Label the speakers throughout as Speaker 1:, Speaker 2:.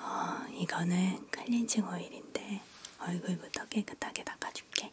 Speaker 1: 어, 이거는 클렌징 오일인데 얼굴부터 깨끗하게 닦아줄게.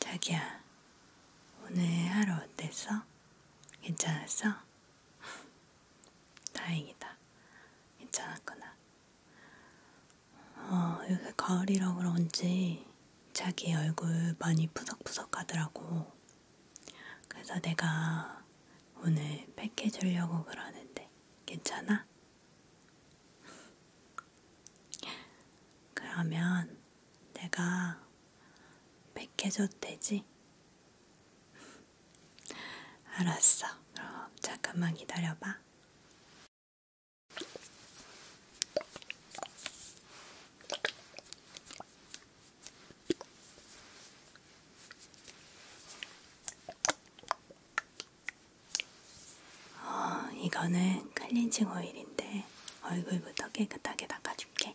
Speaker 1: 자기야, 오늘 하루 어땠어? 괜찮았어? 다행이다. 괜찮았구나. 어, 요새 가을이라 그런지 자기 얼굴 많이 푸석푸석 하더라고. 그래서 내가 오늘 팩해주려고 그러는데 괜찮아? 그러면 내가 팩해줘도 되지? 알았어. 그럼 잠깐만 기다려봐. 어, 이거는 클렌징 오일인데 얼굴부터 깨끗하게 닦아줄게.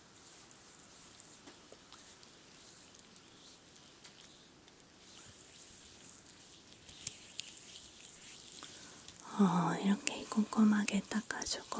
Speaker 1: 어, 이렇게 꼼꼼하게 닦아주고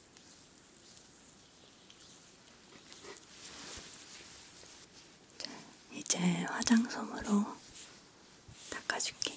Speaker 1: 자, 이제 화장솜으로 닦아줄게.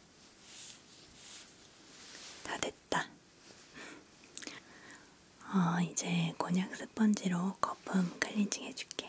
Speaker 1: 다 됐다. 어, 이제 곤약 스펀지로 거품 클렌징 해줄게.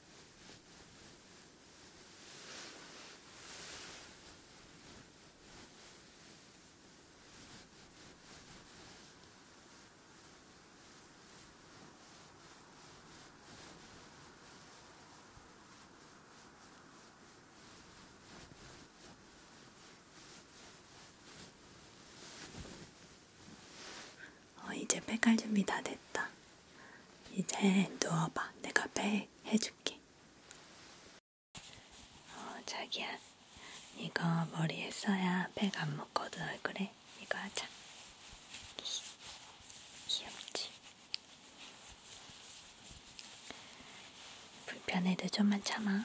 Speaker 1: 어, 이제 팩할 준비 다 됐다. 이제 누워봐. 내가 배 해줄게. 어, 자기야. 이거 머리에 써야 백안 묶어도 얼굴에 이거 하자. 귀엽지? 불편해도 좀만 참아.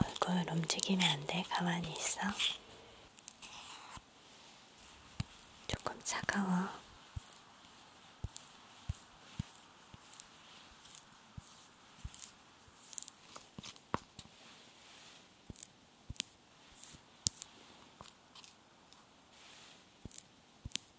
Speaker 1: 얼굴 움직이면 안 돼. 가만히 있어. 조금 차가워.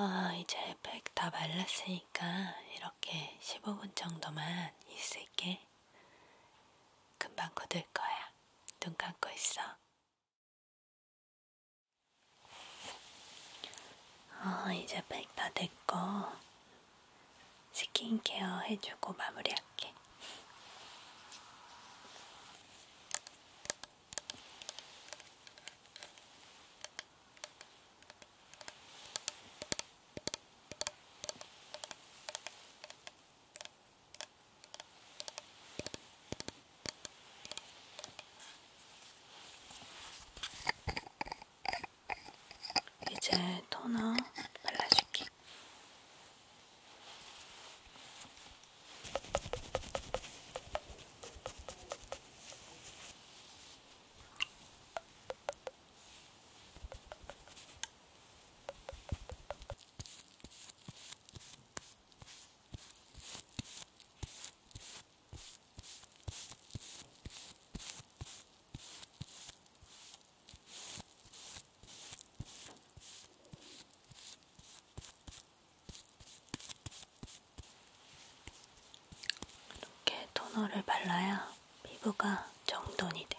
Speaker 1: 아, 이제 팩 다 말랐으니까 이렇게 15분 정도만 있을게. 금방 굳을 거야. 눈 감고 있어. 어, 이제 백다 됐고 스킨케어 해주고 마무리할게. 이제 토너 발라줄게. 이렇게 토너를 발라야 피부가 정돈이 돼.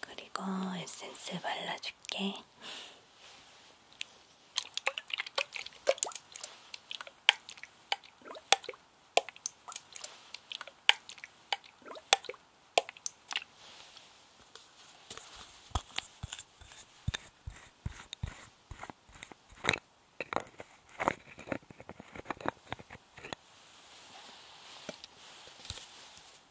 Speaker 1: 그리고 에센스 발라줄게.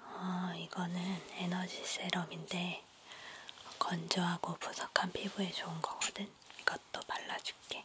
Speaker 1: 어, 이거는 에너지 세럼인데 건조하고 부석한 피부에 좋은 거거든. 이것도 발라줄게.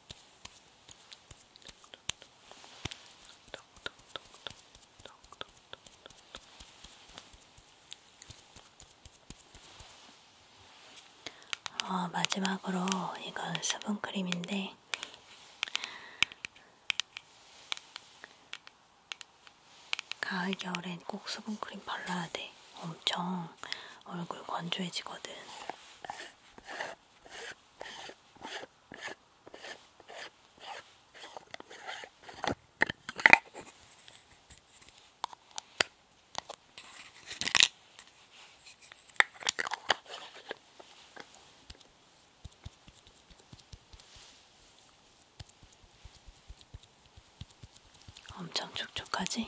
Speaker 1: 어, 마지막으로 이건 수분크림인데 가을 겨울엔 꼭 수분크림 발라야 돼. 엄청 얼굴 건조해지거든. 엄청 촉촉하지?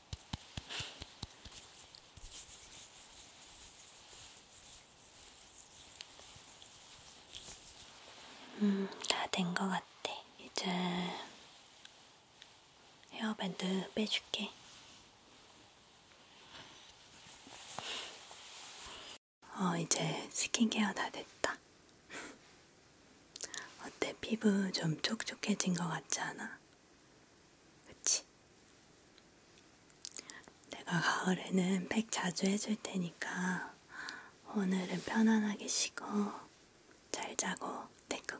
Speaker 1: 음, 다 된 것 같아. 이제 헤어밴드 빼줄게. 어, 이제 스킨케어 다 됐다. 어때? 피부 좀 촉촉해진 것 같지 않아? 그치? 내가 가을에는 팩 자주 해줄 테니까 오늘은 편안하게 쉬고 잘 자고 내 꿈꿔.